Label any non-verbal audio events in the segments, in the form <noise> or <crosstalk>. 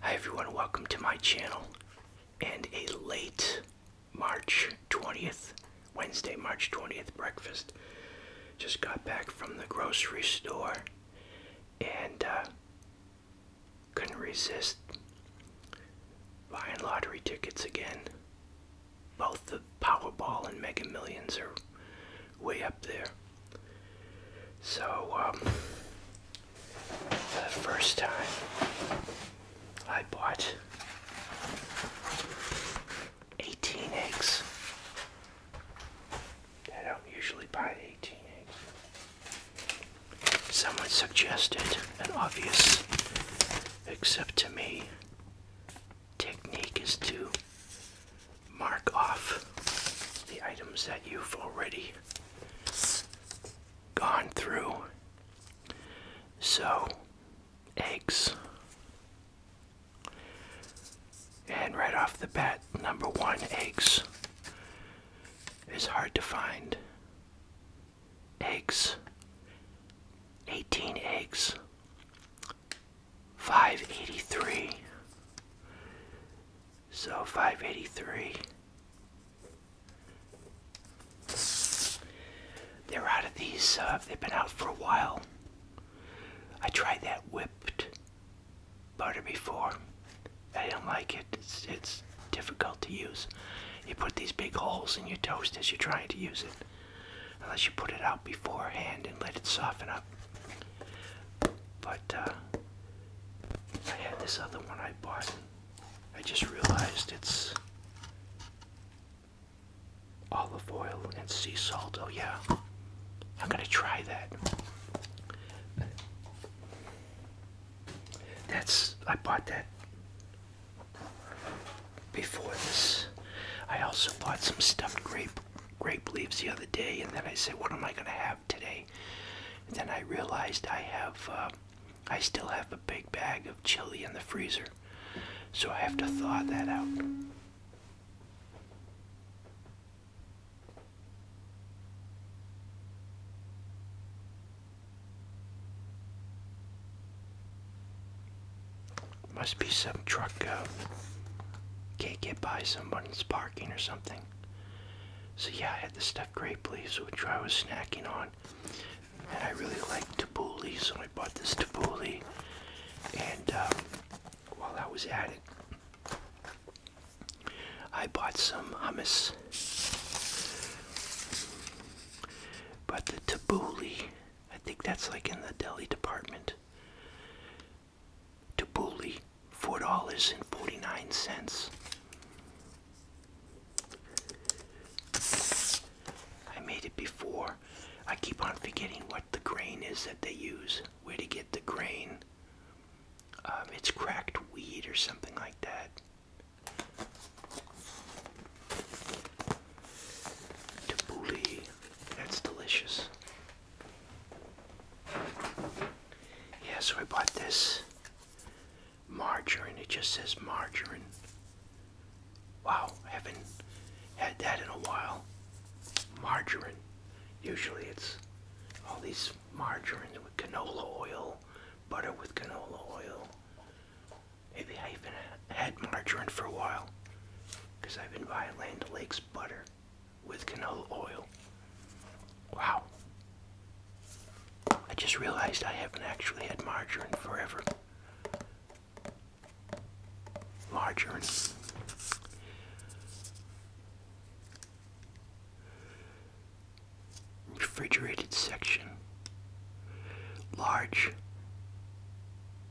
Hi everyone, welcome to my channel and a late March 20th, Wednesday, March 20th breakfast. Just got back from the grocery store and uh, couldn't resist buying lottery tickets again. Both the Powerball and Mega Millions are way up there. So, um, the first time I bought 18 eggs. I don't usually buy 18 eggs. Someone suggested an obvious, except to me, technique is to mark off the items that you've already gone through. So, eggs. And right off the bat, number one, eggs is hard to find. Eggs. 18 eggs. 583. So 583. They're out of these, uh, they've been out for a while. I tried that whipped butter before. I didn't like it. It's, it's difficult to use. You put these big holes in your toast as you're trying to use it. Unless you put it out beforehand and let it soften up. But uh, I had this other one I bought. I just realized it's olive oil and sea salt. Oh yeah, I'm gonna try that. That's I bought that before this. I also bought some stuffed grape grape leaves the other day, and then I said, "What am I going to have today?" then I realized I have, uh, I still have a big bag of chili in the freezer, so I have to thaw that out. Must be some truck. Uh, can't get by somebody someone's parking or something. So yeah, I had the stuffed grape leaves, which I was snacking on. And I really liked tabbouleh, so I bought this tabbouleh. And um, while I was at it, I bought some hummus. But the tabbouleh, I think that's like in the deli department to Booley, $4.49. I made it before. I keep on forgetting what the grain is that they use, where to get the grain. Um, it's cracked wheat or something like that. Tabbouleh, that's delicious. Yes, we bought this margarine. It just says margarine. Wow, I haven't had that in a while. Margarine. Usually it's all these margarines with canola oil, butter with canola oil. Maybe I haven't had margarine for a while because I've been buying Land O'Lakes butter with canola oil. Wow. I just realized I haven't actually had margarine forever. Margarine. Refrigerated section. Large.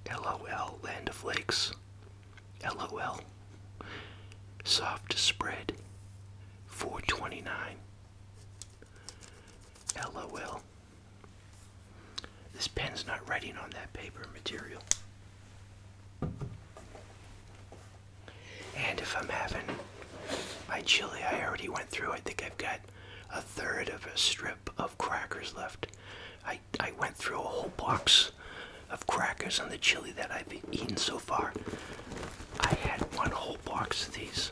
LOL, Land of Lakes. LOL. Soft spread 429. LOL. This pen's not writing on that paper material. And if I'm having my chili, I already went through. I think I've got a third of a strip of crackers left. I I went through a whole box of crackers and the chili that I've eaten so far. I had one whole box of these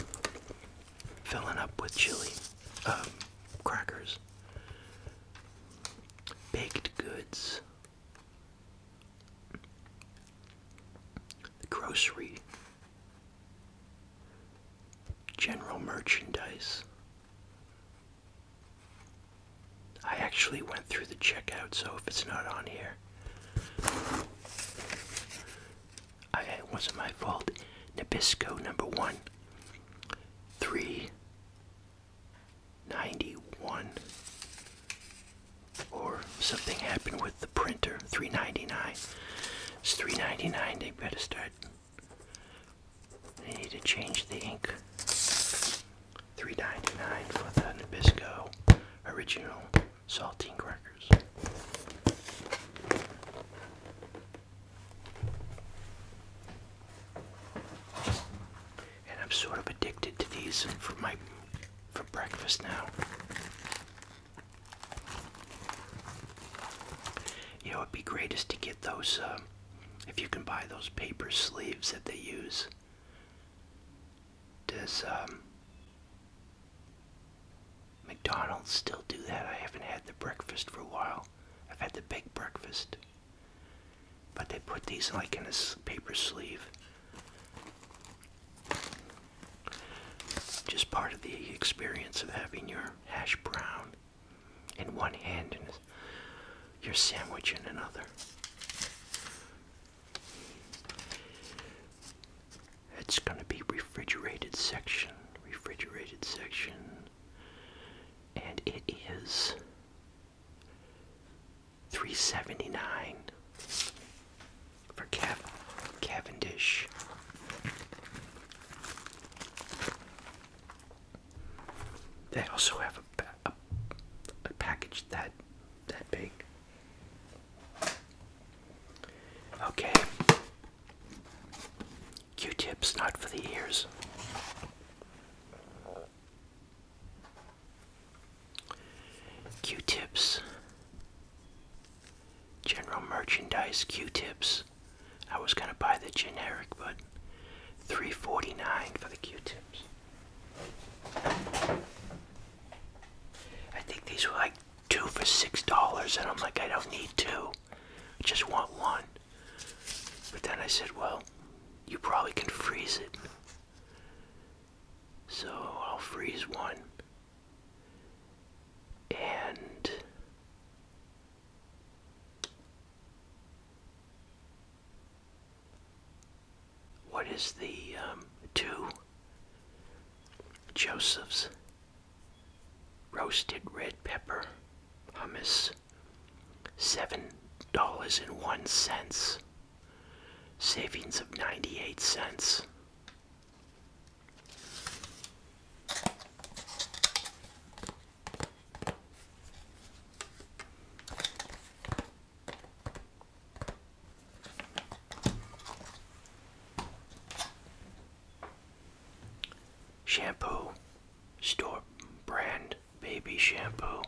filling up with chili, um, crackers, baked goods, grocery, general merchandise, I actually went through the checkout, so if it's not on here, it wasn't my fault. Nabisco number one, three ninety-one, or something happened with the printer. Three ninety-nine. It's three ninety-nine. They better start. They need to change the ink. Three ninety nine for the Nabisco original saltine crackers. And I'm sort of addicted to these for my for breakfast now. You know, it'd be great is to get those, uh, if you can buy those paper sleeves that they use does um, McDonald's still do that? I haven't had the breakfast for a while. I've had the big breakfast. But they put these like in a paper sleeve. Just part of the experience of having your hash brown in one hand and you're sandwiching another. It's going to be refrigerated section, refrigerated section, and it is three seventy nine for Cav Cavendish. They also have a, a package that that big. Okay. Q-tips, not for the ears. Q-tips. General merchandise Q-tips. I was gonna buy the generic, but 349 for the Q-tips. I think these were like two for six dollars, and I'm like, I don't need two. I just want one. But then I said, well, you probably can freeze it. So I'll freeze one. And what is the um, two Joseph's roasted red pepper hummus? Seven dollars and one cents. Savings of ninety eight cents. Shampoo, store brand baby shampoo,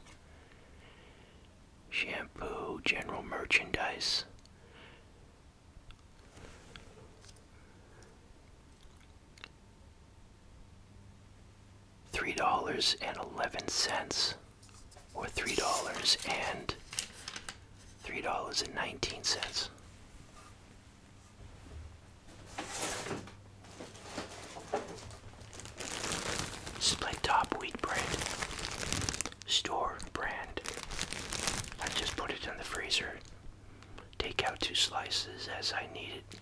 shampoo, general merchandise, three dollars and eleven cents or three dollars and three dollars and nineteen cents this top wheat bread store brand I just put it in the freezer take out two slices as I need it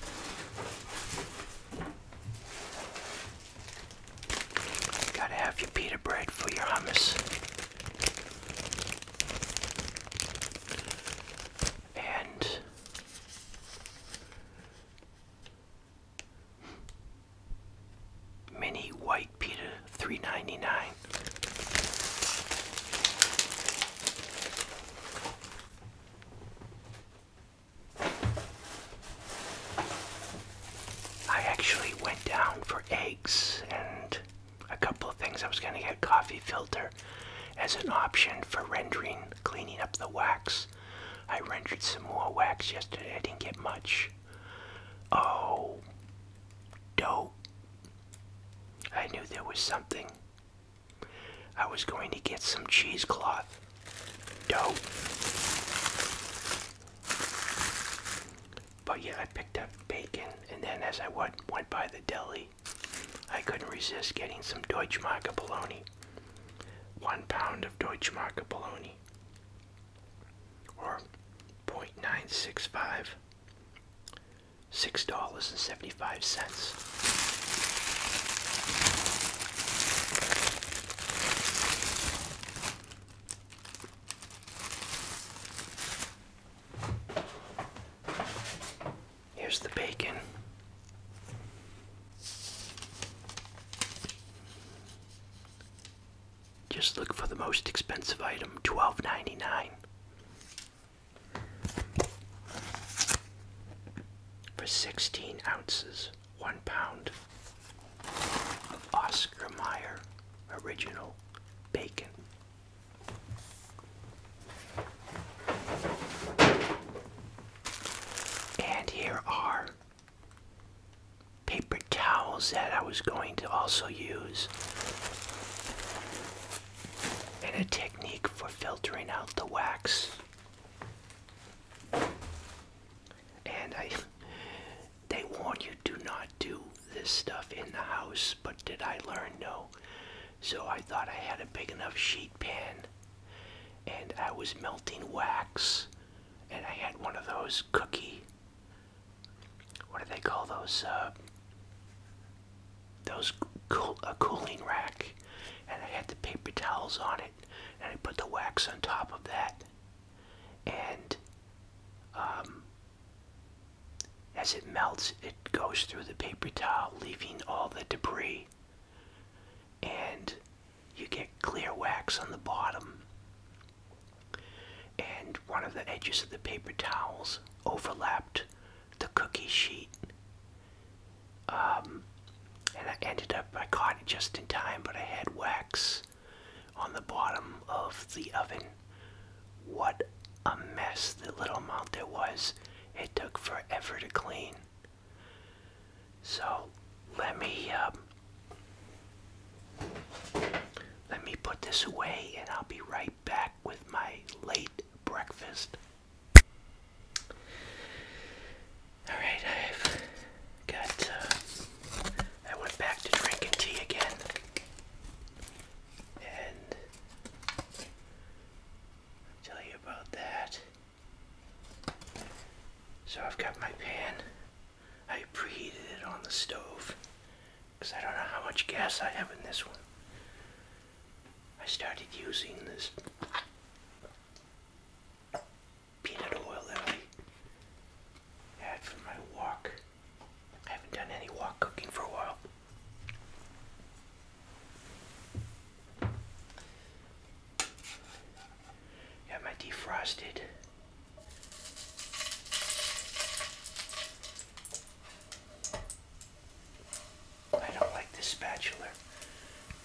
you gotta have your pita bread for your hummus. And mini white pita 399 I actually went down for eggs and a couple of things. I was going to get coffee filter as an option for rendering, cleaning up the wax. I rendered some more wax yesterday. I didn't get much. Oh, dope. I knew there was something. I was going to get some cheesecloth dough. But yeah, I picked up bacon, and then as I went, went by the deli, I couldn't resist getting some Deutschmarke bologna. One pound of Deutschmarke bologna, or point nine six five six dollars and seventy five cents. Here's the bacon. Just look for the most expensive item, twelve ninety nine for 16 ounces, one pound of Oscar Mayer original bacon. And here are paper towels that I was going to also use and a technique for filtering out the wax. And I they warn you do not do this stuff in the house, but did I learn no? So I thought I had a big enough sheet pan and I was melting wax and I had one of those cookie what do they call those uh, those cool, a cooling rack, and I had the paper towels on it, and I put the wax on top of that, and um, as it melts, it goes through the paper towel, leaving all the debris, and you get clear wax on the bottom. And one of the edges of the paper towels overlapped the cookie sheet. Um, and I ended up, I caught it just in time, but I had wax on the bottom of the oven. What a mess, the little amount there was. It took forever to clean. So let me, um, let me put this away and I'll be right back with my late breakfast. Alright, I've got, uh, I went back to drinking tea again. And I'll tell you about that. So I've got my pan. I preheated it on the stove because I don't know how much gas I have in this one. I started using this peanut oil that I had for my walk. I haven't done any walk cooking for a while. Got my defrosted. I don't like this spatula.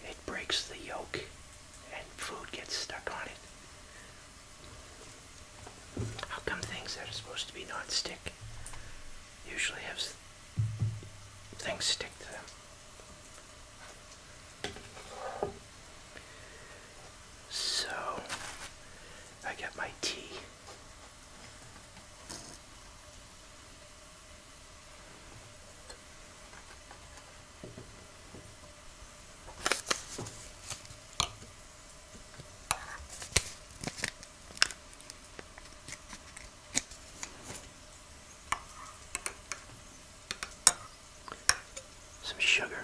It breaks the yolk and food gets stuck on it. How come things that are supposed to be non-stick usually have things stick to them? So, I get my tea some sugar.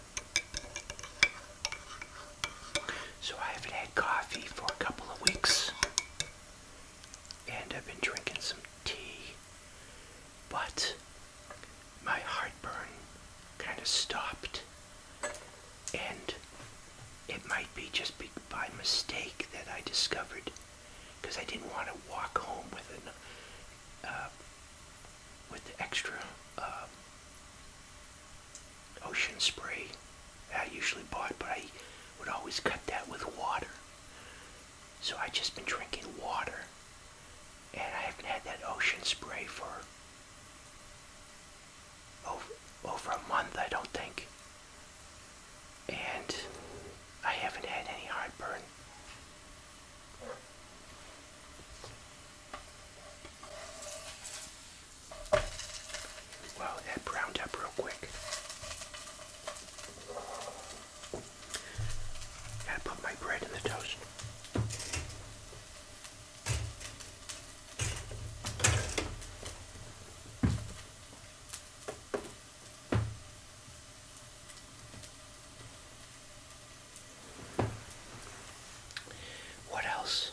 So I haven't had coffee for a couple of weeks. And I've been drinking some tea. But my heartburn kind of stopped. And it might be just by mistake that I discovered because I didn't want to walk home with an uh, with extra uh, ocean spray. I usually bought, but I would always cut that with water. So I have just been drinking water, and I haven't had that ocean spray for over, over a month, I don't think. And I haven't had any heartburn. Wow, that browned up real quick. got put my bread in the toast. What else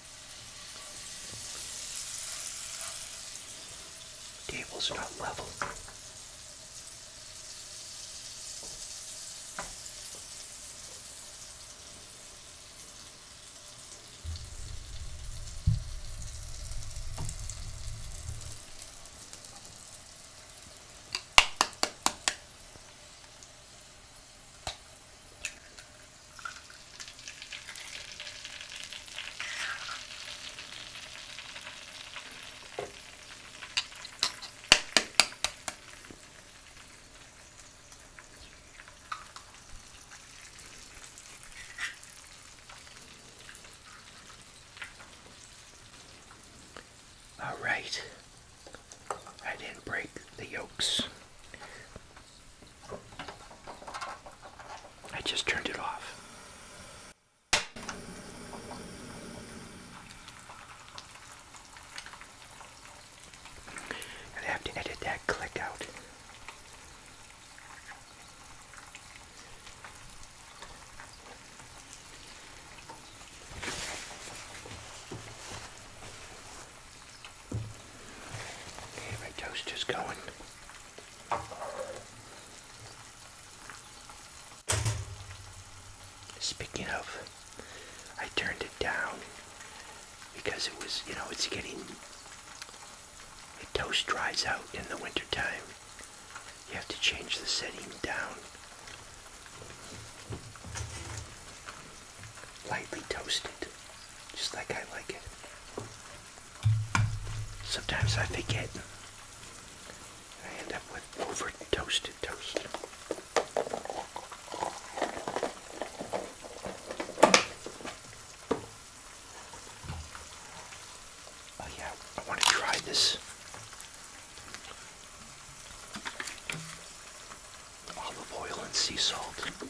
Table's not level. All right, I didn't break the yolks. I just turned it off. I have to edit that click out. Okay, my toaster's going. Speaking of, I turned it down because it was, you know, it's getting, the toast dries out in the wintertime. You have to change the setting down lightly toasted, just like I like it. Sometimes I forget. I end up with over toasted toast. Oh yeah, I want to try this olive oil and sea salt.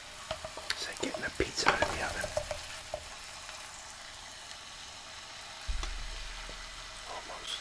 It's like getting a pizza out of the oven. Almost.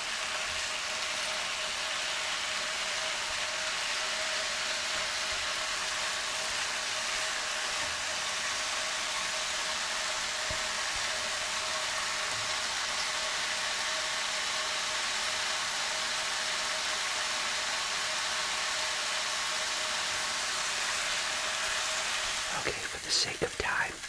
Okay, for the sake of time,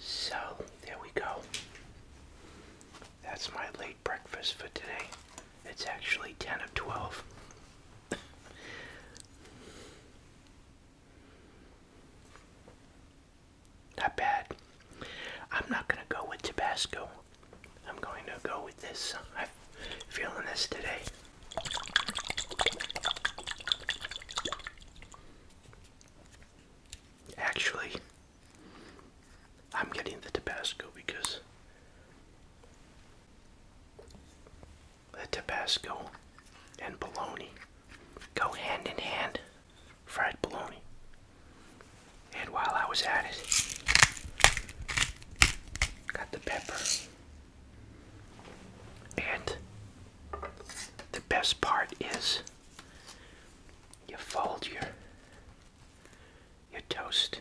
So, there we go. That's my late breakfast for today. It's actually 10 of 12. <laughs> Not bad. I'm not going to go with Tabasco. I'm going to go with this. I'm feeling this today. Actually, I'm getting the Tabasco because the Tabasco and bologna go hand in hand. Fried bologna. And while I was at it, got the pepper. And the best part is you fold your your toast.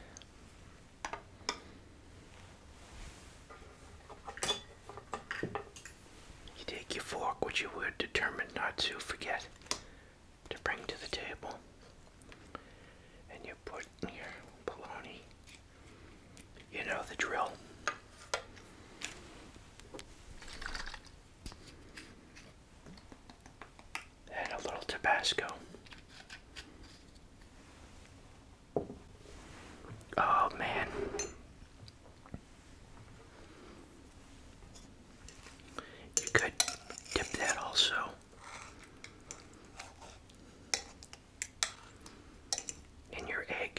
You take your fork, which you were determined not to forget, to bring to the table. And you put your bologna. You know the drill. And a little Tabasco. Oh man. You could dip that also in your egg.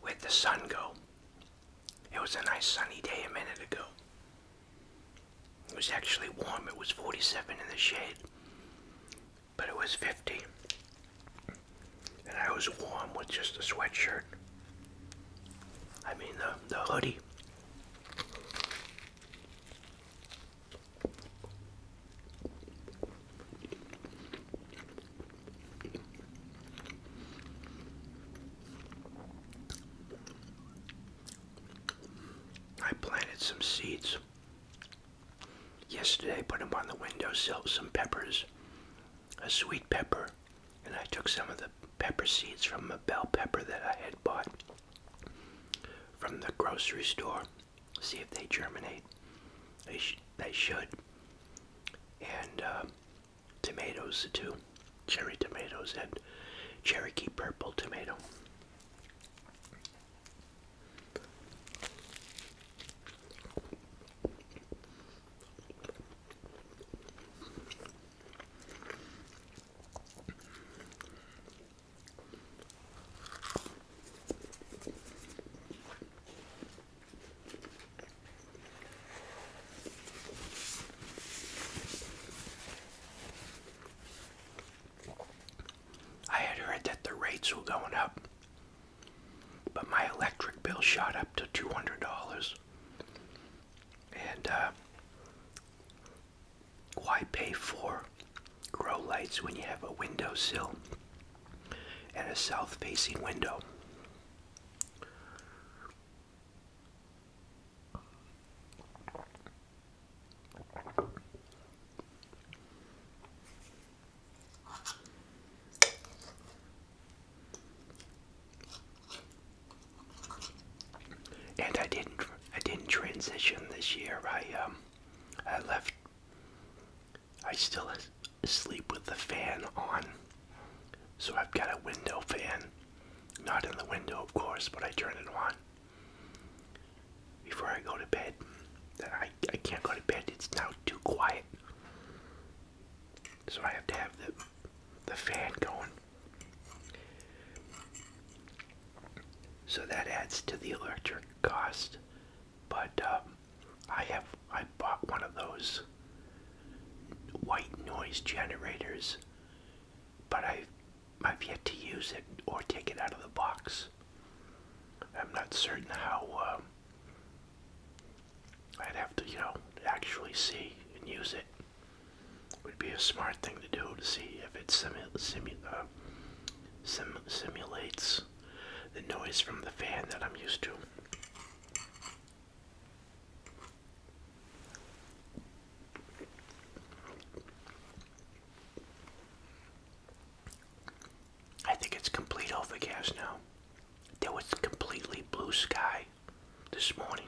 Where'd the sun go. It was a nice sunny day a minute ago. It was actually warm. It was 47 in the shade, but it was 50 and I was warm with just a sweatshirt. I mean the, the hoodie. I planted some seeds yesterday, put them on the windowsill, some peppers, a sweet pepper, and I took some of the pepper seeds from a bell pepper that I had bought from the grocery store, see if they germinate. They, they should. And uh, tomatoes too, cherry tomatoes and Cherokee purple tomato. I had heard that the rates were going up but my electric bill shot up to $200. And uh, why pay for grow lights when you have a windowsill and a south facing window? And I didn't I didn't transition this year. I um, I left I still sleep with the fan on. So I've got a window fan. Not in the window, of course, but I turn it on before I go to bed. I, I can't go to bed. It's now too quiet. So I have to have the the fan going. So that adds to the electric cost. But um, I have I bought one of those white noise generators, but I I've yet to use it or take it out of the box. I'm not certain how. Um, I'd have to, you know, actually see and use it. Would be a smart thing to do to see if it simu simu uh, simulates the noise from the fan that I'm used to. I think it's complete overcast now. There was completely blue sky this morning.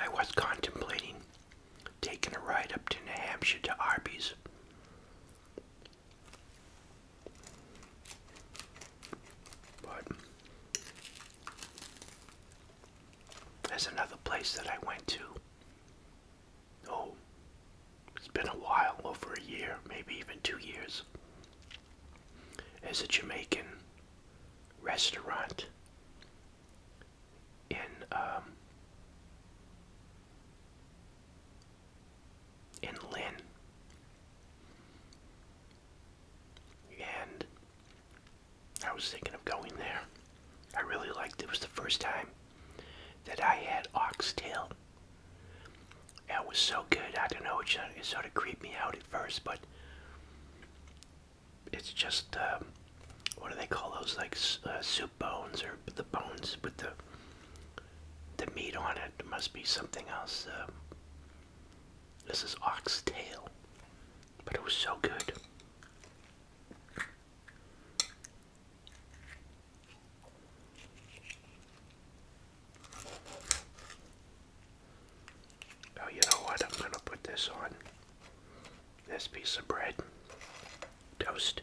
I was contemplating taking a ride up to New Hampshire to Arby's. But there's another place that I went to. Oh, it's been a while, over a year, maybe even two years. It's a Jamaican restaurant in um, in Lynn, and I was thinking of going there. I really liked it. It was the first time that I had oxtail. That was so good. I don't know. It, just, it sort of creeped me out at first, but it's just um, what do they call those? Like uh, soup bones or the bones with the the meat on it. it must be something else. Uh, this is oxtail, but it was so good. Oh, you know what? I'm going to put this on this piece of bread. Toast.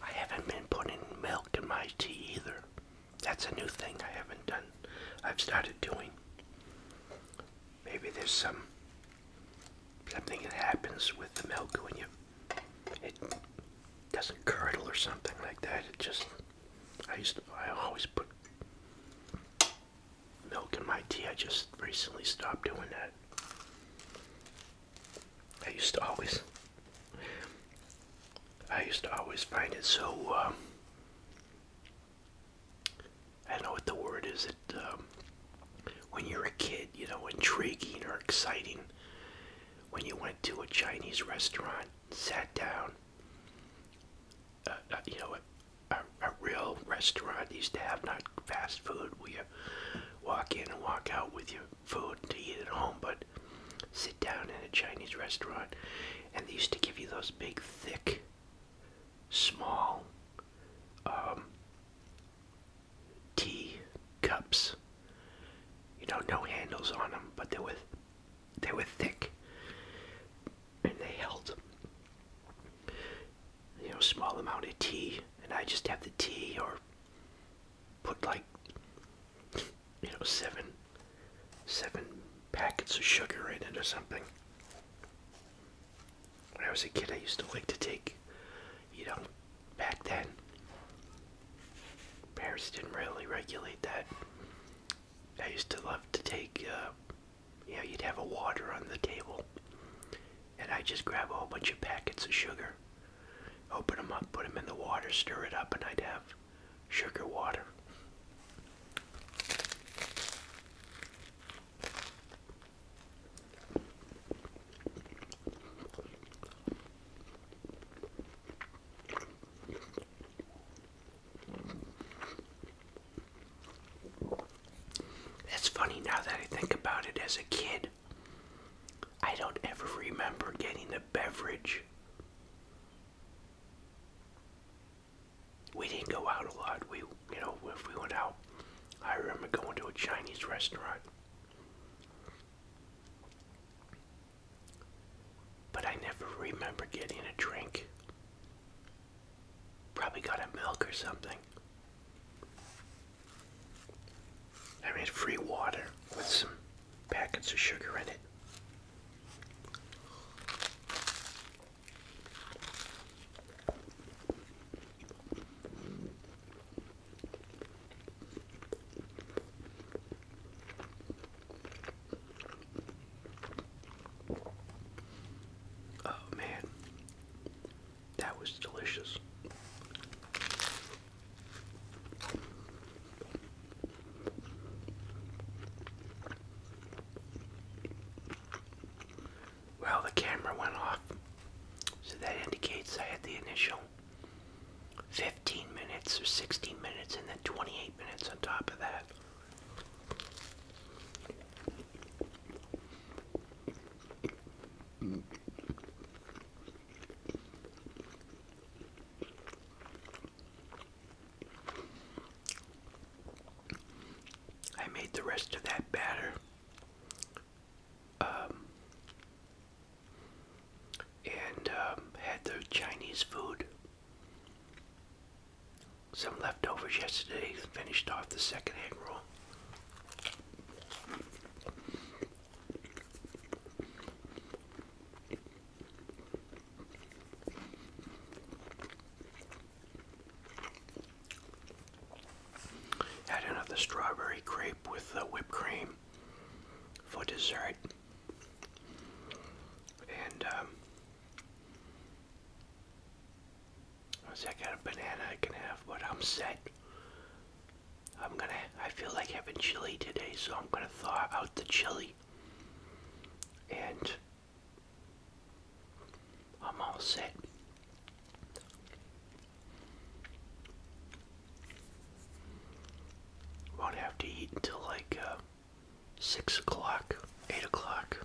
I haven't been putting milk in my tea either. That's a new thing I haven't done. I've started doing. Maybe there's some something that happens with the milk when you it doesn't curdle or something like that. It just I used to, I always put milk in my tea. I just recently stopped doing that. I used to always I used to always find it so, um, I don't know what the word is, it, um, when you're a kid, you know, intriguing or exciting. When you went to a Chinese restaurant, sat down, uh, uh, you know, a, a, a real restaurant used to have not fast food where you walk in and walk out with your food to eat at home, but sit down in a Chinese restaurant, and they used to give you those big, thick, small um, tea cups. You know, no handles on them, but they were they were thick, and they held you know small amount of tea. And I just have the tea, or put like you know, seven, seven packets of sugar right into something. When I was a kid, I used to like to take, you know, back then, parents didn't really regulate that. I used to love to take, uh, you know, you'd have a water on the table, and I just grab a whole bunch of packets of sugar, open them up, put them in the water, stir it up, and I'd have sugar water. That's funny now that I think about it as a kid. I don't ever remember getting a beverage we didn't go out a lot. We, you know, if we went out, I remember going to a Chinese restaurant. But I never remember getting a drink. Probably got a milk or something. I mean, free water with some packets of sugar in it. Oh man, that was delicious. Well, the camera went off, so that indicates I had the initial 15 minutes or 16 minutes and then 28 minutes on top of that. I made the rest of that batter. Um, and um, had the Chinese food. Some leftovers yesterday, finished off the second egg roll. Had another strawberry crepe with the whipped cream for dessert. And um, I said I banana I can have, but I'm set. I'm gonna, I feel like having chili today, so I'm gonna thaw out the chili and I'm all set. Won't have to eat until like uh, six o'clock, eight o'clock.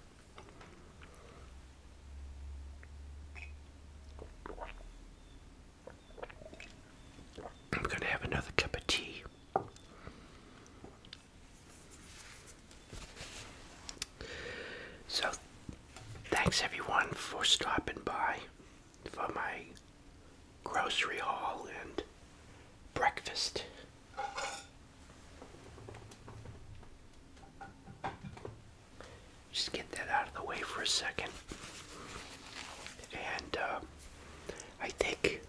I'm gonna have another cup of tea. So, thanks everyone for stopping by for my grocery haul and breakfast. Just get that out of the way for a second. And uh, I think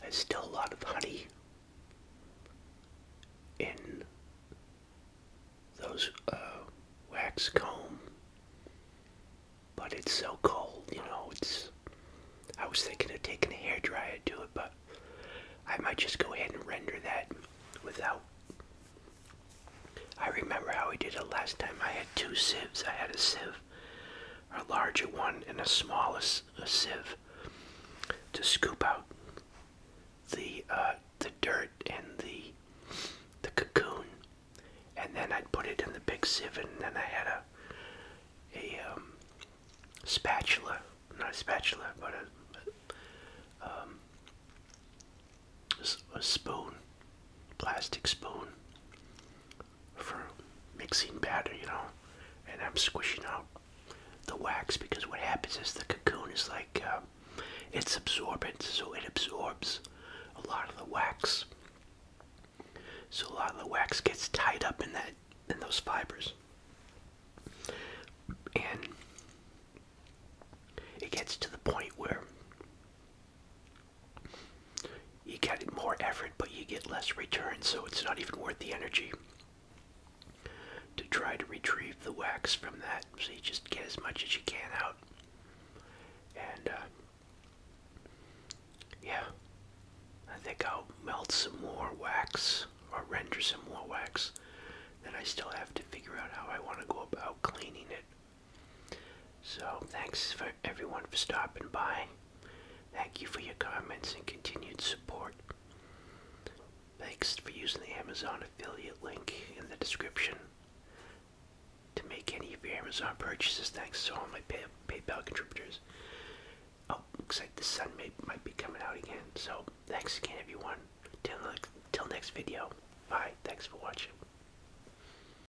there's still a lot of honey in those uh, wax comb, but it's so cold, you know. It's I was thinking of taking a hairdryer to it, but I might just go ahead and render that without. I remember how we did it last time. I had two sieves. I had a sieve a larger one and a smaller sieve, to scoop out the uh, the dirt and the the cocoon, and then I'd put it in the big sieve, and then I had a a um, spatula, not a spatula, but a, a um, spoon, plastic spoon, for mixing batter, you know, and I'm squishing out the wax because what happens is the cocoon is like uh, it's absorbent, so it absorbs a lot of the wax. So a lot of the wax gets tied up in that in those fibers, and it gets to the point where you get more effort, but you get less return, so it's not even worth the energy to try to retrieve the wax from that. So you just get as much as you can out. And, uh, yeah, I think I'll melt some more wax or render some more wax. Then I still have to figure out how I want to go about cleaning it so, thanks for everyone for stopping by. Thank you for your comments and continued support. Thanks for using the Amazon affiliate link in the description to make any of your Amazon purchases. Thanks to all my PayPal contributors. Oh, looks like the sun may, might be coming out again. So, thanks again, everyone. Till, till next video. Bye. Thanks for watching.